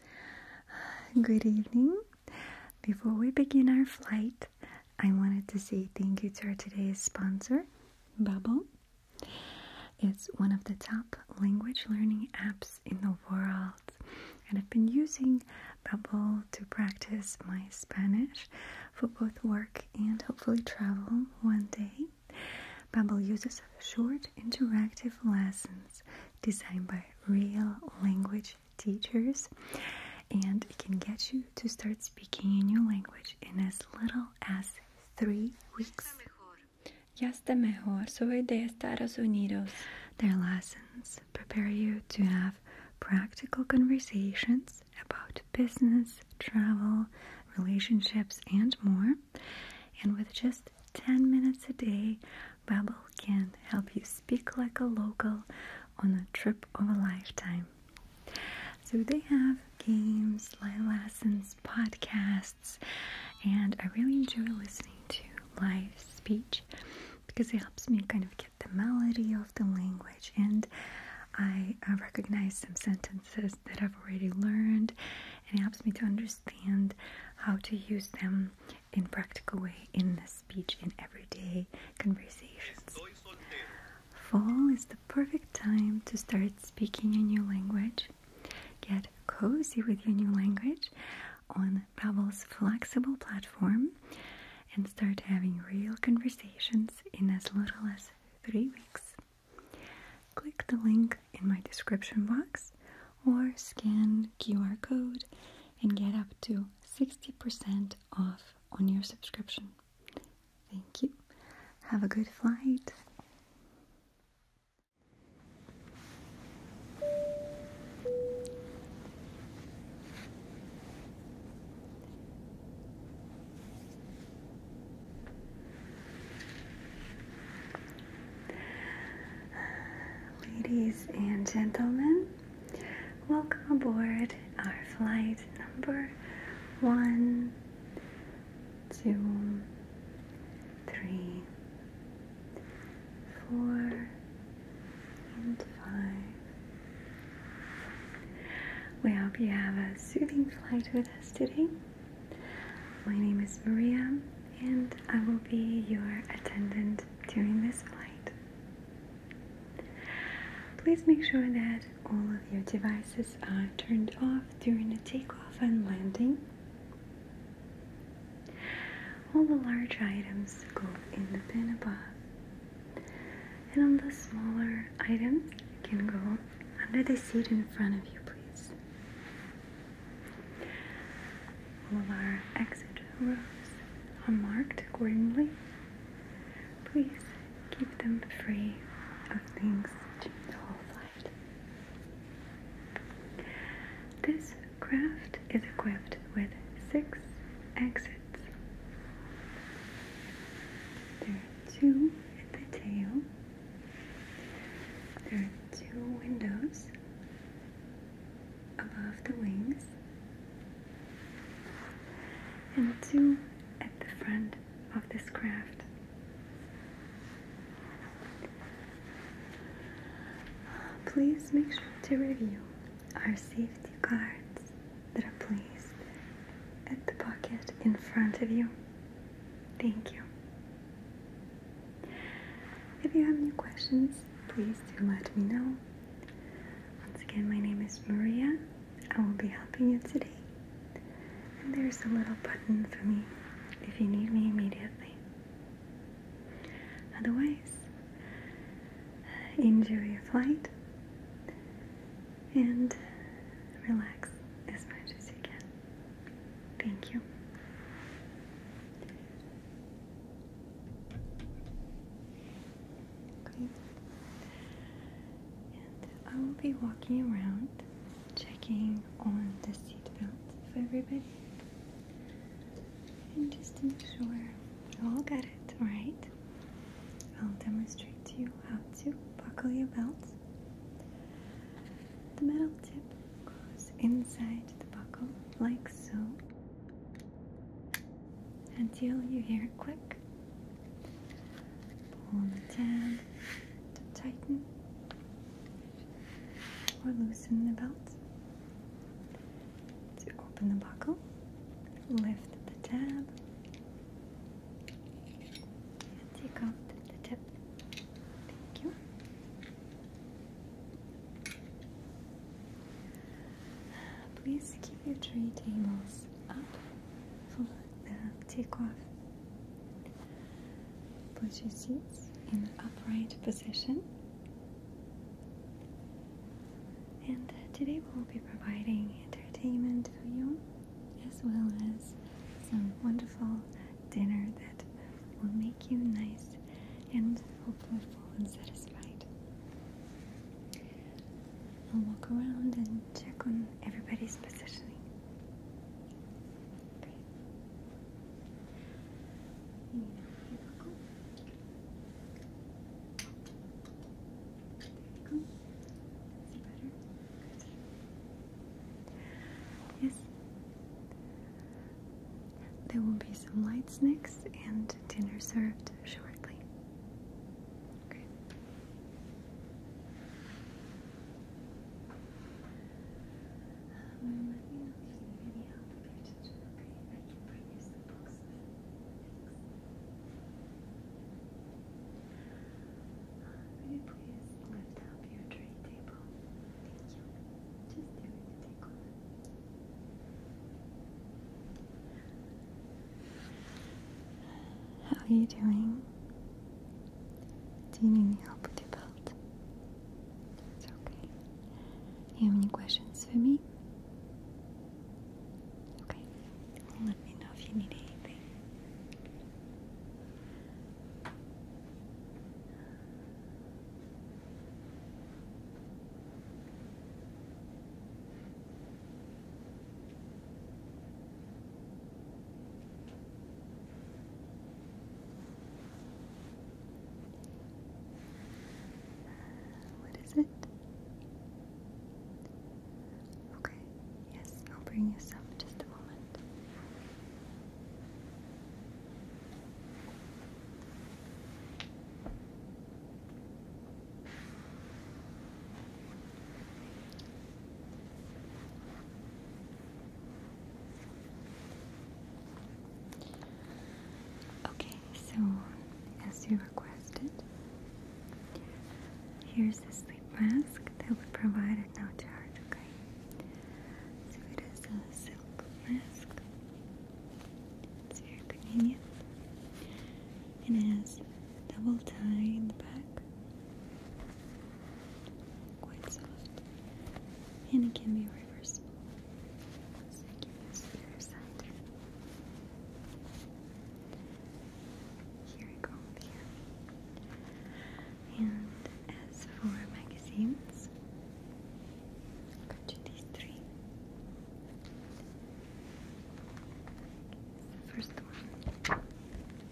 Good evening. Before we begin our flight, I wanted to say thank you to our today's sponsor, Babbel. It's one of the top language learning apps in the world, and I've been using Babbel to practice my Spanish for both work and hopefully travel one day. Babbel uses short interactive lessons designed by real language teachers and it can get you to start speaking a new language in as little as three weeks. Ya está mejor. Soy de Estados Unidos. Their lessons prepare you to have practical conversations about business, travel, relationships, and more. And with just 10 minutes a day Babbel can help you speak like a local on a trip of a lifetime. So they have games, live lessons, podcasts, and I really enjoy listening to live speech because it helps me kind of get the melody of the language and I recognize some sentences that I've already learned and helps me to understand how to use them in practical way in the speech in everyday conversations. Fall is the perfect time to start speaking a new language. Get cozy with your new language on Babbel's flexible platform and start having real conversations in as little as three weeks. Click the link in my description box or scan QR code and get up to 60% off on your subscription. Thank you. Have a good flight. Ladies and gentlemen, welcome aboard our flight number one, two, three, four, and five. We hope you have a soothing flight with us today. My name is Maria and I will be your attendant during this flight. Please make sure that all of your devices are turned off during the takeoff and landing. All the large items go in the bin above, and all the smaller items can go under the seat in front of you, please. All of our exit rows are marked accordingly. Please keep them free of things during the whole flight. This craft is equipped with six exits. There are two at the tail. There are two windows above the wings and two at the front of this craft. Please make sure to review our safety cards that are placed at the pocket in front of you. Thank you. If you have any questions, please do let me know. Once again, my name is Maria. I will be helping you today. And there's a little button for me if you need me immediately. Otherwise, uh, enjoy your flight and relax as much as you can. Thank you. And I will be walking around checking on the seat belts for everybody. And just to make sure you all got it right, I'll demonstrate to you how to buckle your belts. The metal tip goes inside the buckle like so until you hear a click. Pull on the tab to tighten or loosen the belt. To open the buckle, lift the tab take off the tip. Thank you. Please keep your tray tables up for the uh, takeoff. Put your seats in upright position. And uh, today we'll be providing entertainment for you as well as some wonderful dinner that will make you nice and hopefully full and satisfied. I'll walk around and check on everybody's positioning. Okay. Yeah, here go. There we go. That's better. Yes. There will be some lights next, and dinner served shortly. Okay. Um, let me know if you need any help with your attention, okay? I can produce the books. Thanks. Uh, you please lift up your tray table? How are you doing? Do you need any help with your belt? It's okay. You have any questions for me? Okay. let me know if you need anything. What is it? Okay, yes, I'll bring you some just a moment. Okay, so as you requested, here's the sleep mask that we provided, no charge, okay? So it is a silk mask. It's very convenient. And it has a double tie in the back. Quite soft. And it can be reversible. So the other side. Here we go. And as for magazines, I'll these three. The first one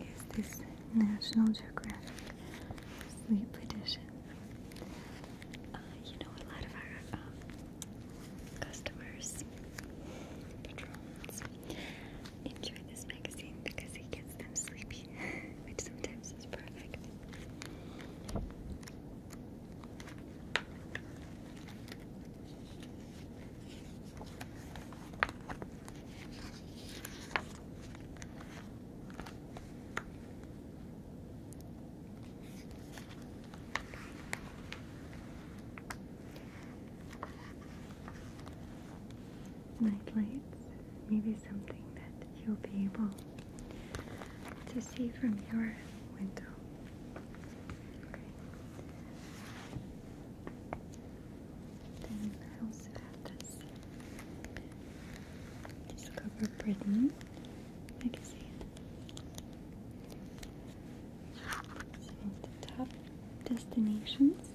is this National Geographic Sleep Edition. Uh, you know, a lot of our um, customers, patrons, enjoy this magazine because it gets them sleepy, which sometimes is perfect night maybe something that you'll be able to see from your window. Then I also have this Discover Britain magazine. So the top destinations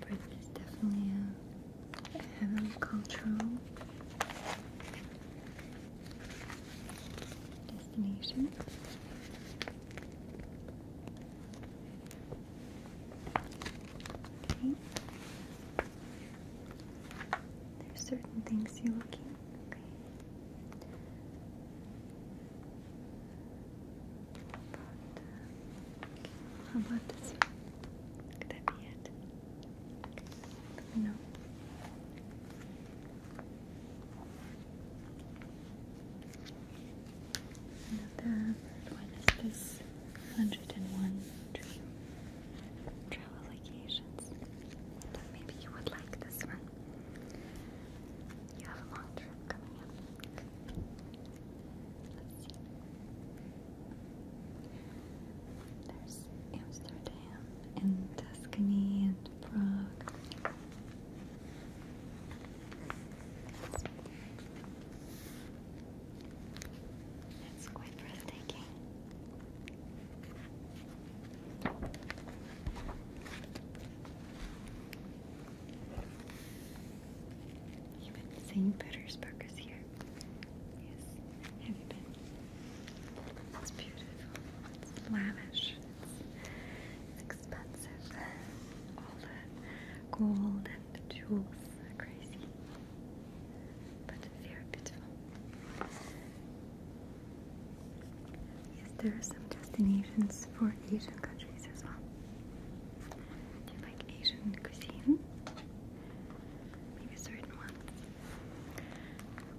Breath is definitely a, a heavily cultural there's certain things you're looking. Okay. How about, this Could that be it? No. Another one is 101 travel occasions. But maybe you would like this one. You have a long trip coming up. Let's see. There's Amsterdam and Tuscany and Prague. That's quite breathtaking. Even St. Petersburg is here. Yes, have you been? It's beautiful. It's lavish expensive. All the gold and jewels are crazy. But very beautiful. Yes, there are some destinations for Asian countries as well. Do you like Asian cuisine? Maybe certain ones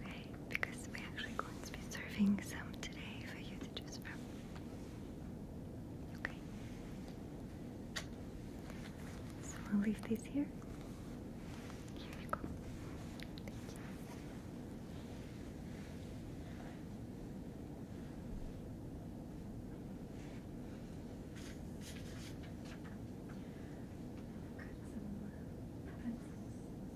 okay? Because we're actually going to be serving some today for you to choose from. Okay. So I'll leave these here. Here you go. Thank you. Some uh,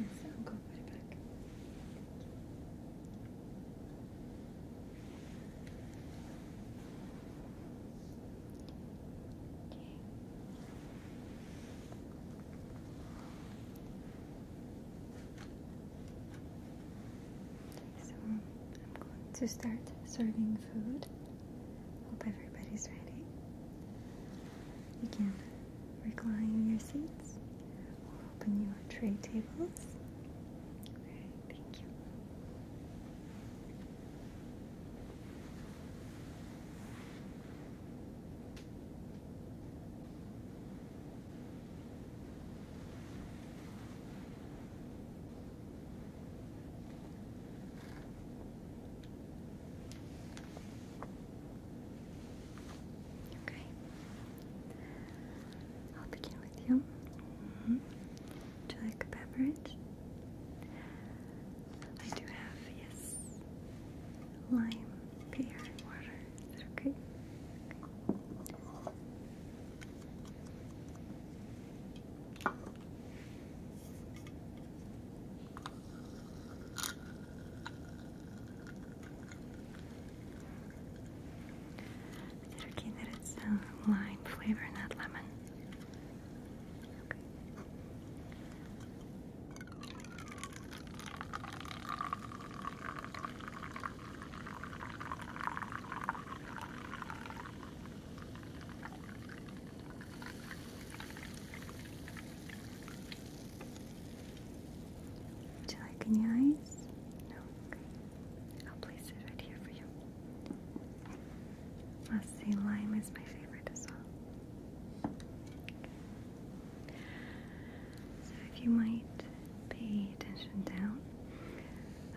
Yes, I'll go put it back. Okay. Okay. So I'm going to start serving food. Hope everybody's ready. You can recline your seats We'll open your tray tables. Alright, thank you. Okay, I'll begin with you. Mm you like a beverage? I do have, yes, lime, pear, water. okay? Is it that it's lime flavor, not lemon? Do you like your eyes? No? I'll place it right here for you. let see, lime is my favorite as well. So if you might pay attention down.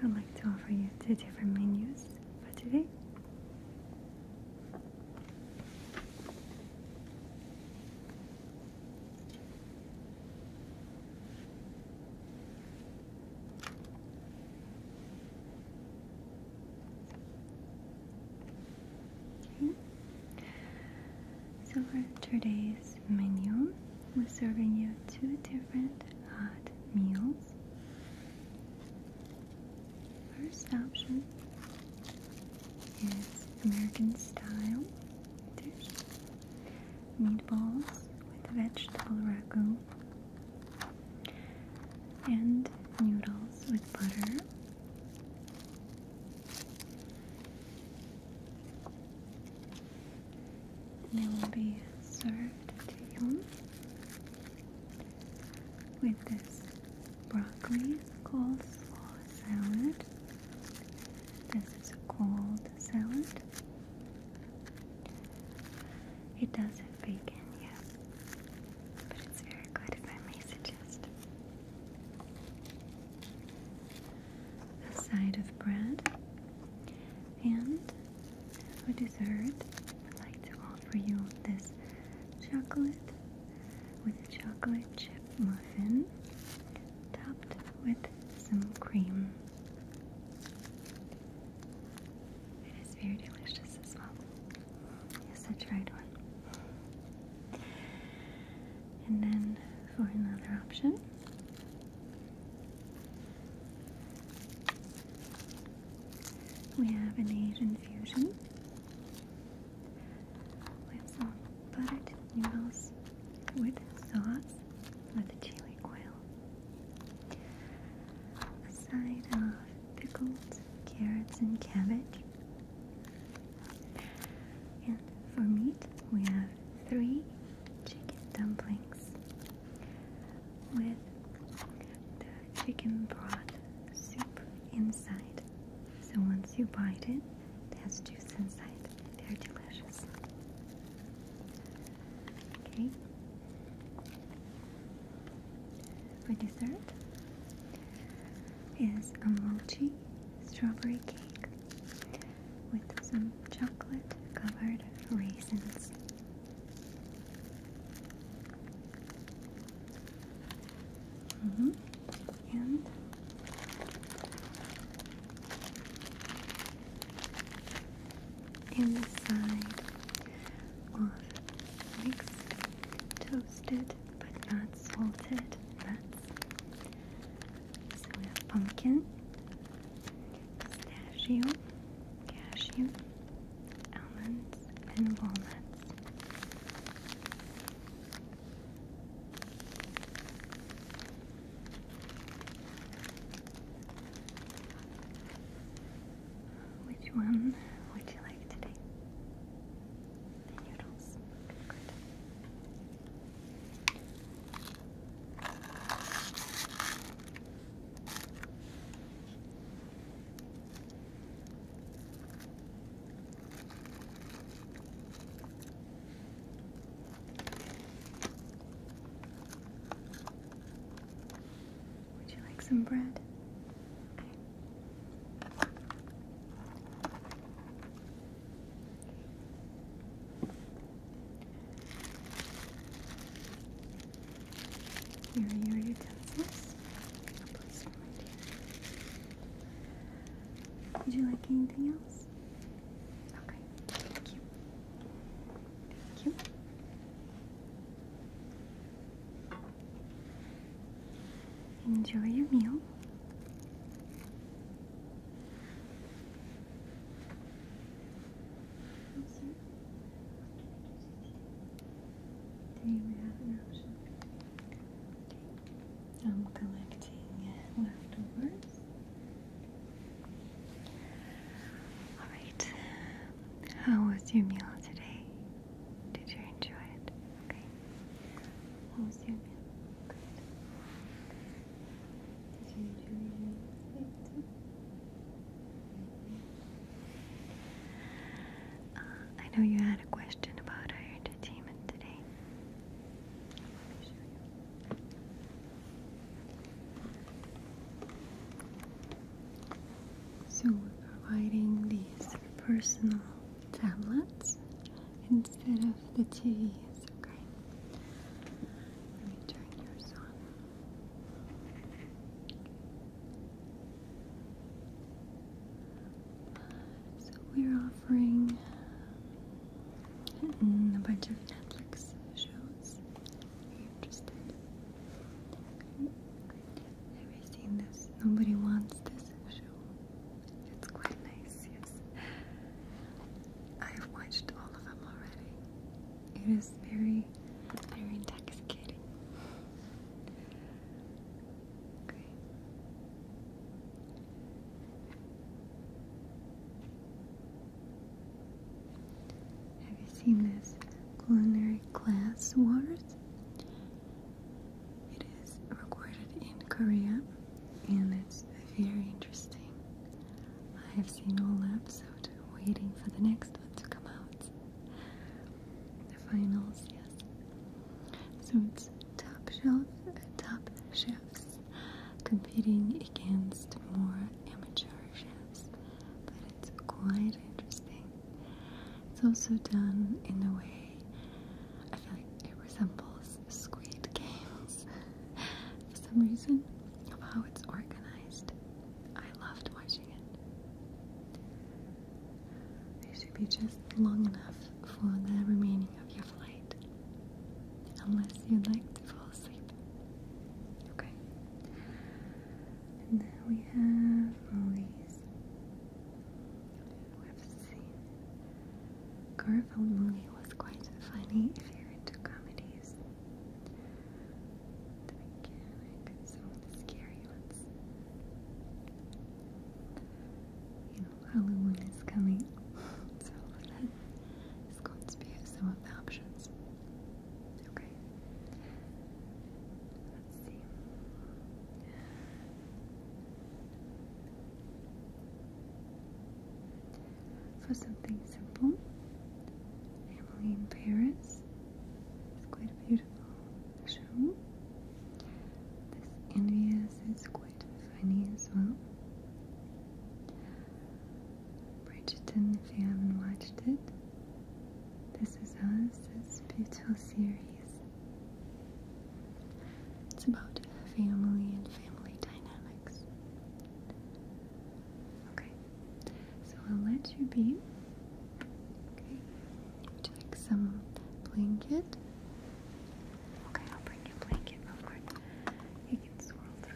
I'd like to offer you two different menus for today. So for today's menu, we're serving you two different hot meals. First option is American style meatballs with vegetable ragu and noodles with butter. They will be served to you with this broccoli coleslaw salad. This is a cold salad. It does have bacon, yeah, but it's very good if I may suggest a side of bread, and for dessert, I'd like to offer you this chocolate with a chocolate chip muffin topped with some cream. It is very delicious as well. Yes, I tried one. And then for another option, we have an Asian fusion. We have some buttered noodles with sauce with the chili oil. A side of pickled carrots and cabbage for meat, we have three chicken dumplings with the chicken broth soup inside. So once you bite it, there's juice inside. They're delicious. Okay. For dessert is a mochi strawberry cake with some chocolate covered raisins. Mm-hmm. And in the side of mixed toasted but not salted nuts so we have pumpkin, pistachio, cashew, almonds, and walnuts. Which one would you like today? The noodles. Would you like some bread? Here are your utensils. Would you like anything else? Okay, thank you. Thank you. Enjoy your meal. I'm collecting leftovers. Alright, how was your meal today? Did you enjoy it? Okay. How was your meal? Good. Uh, I know you had a question about our entertainment today. So we're providing these personal tablets instead of the TVs, okay? Let me turn yours on. So we're offering a bunch of Netflix shows. Are you interested? Have you seen this? Nobody wants this show. It's quite nice, yes. I have watched all of them already. It is very, very intoxicating. Have you seen this culinary class wars? It is recorded in Korea and it's very interesting. I have seen all episode waiting for the next one to come out. The finals, yes. So it's top shelf, top chefs competing against more amateur chefs, but it's quite interesting. It's also done in a way I feel like it resembles Squid Games for some reason of how it's organized. I loved watching it. It should be just long enough for the remaining of your flight, unless you'd like to fall asleep. Okay. And then we have all Garfield movie was quite funny if you're into comedies. The mechanic, some scary ones. You know, Halloween is coming, so that is going to be some of the options. Okay. Let's see. For something simple, Emily in Paris is quite a beautiful show. This Envious is quite funny as well. Bridgerton, if you haven't watched it, This Is Us is beautiful series. It's about family and family dynamics. Okay, so I'll let you be. Okay, would some blanket? Okay, I'll bring you blanket real You can swirl through.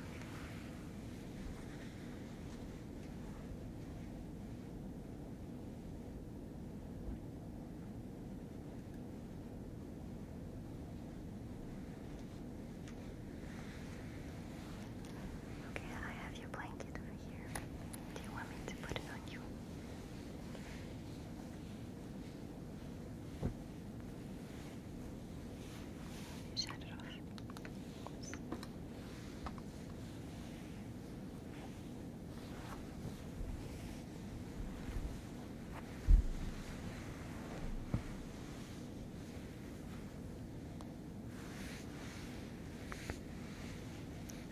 Okay, I have your blanket over here. Do you want me to put it on you? Shut it off.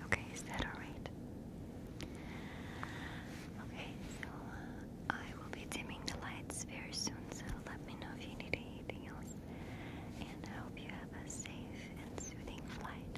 Okay, is that alright? Okay, so uh, I will be dimming the lights very soon, so let me know if you need anything else. And I hope you have a safe and soothing flight,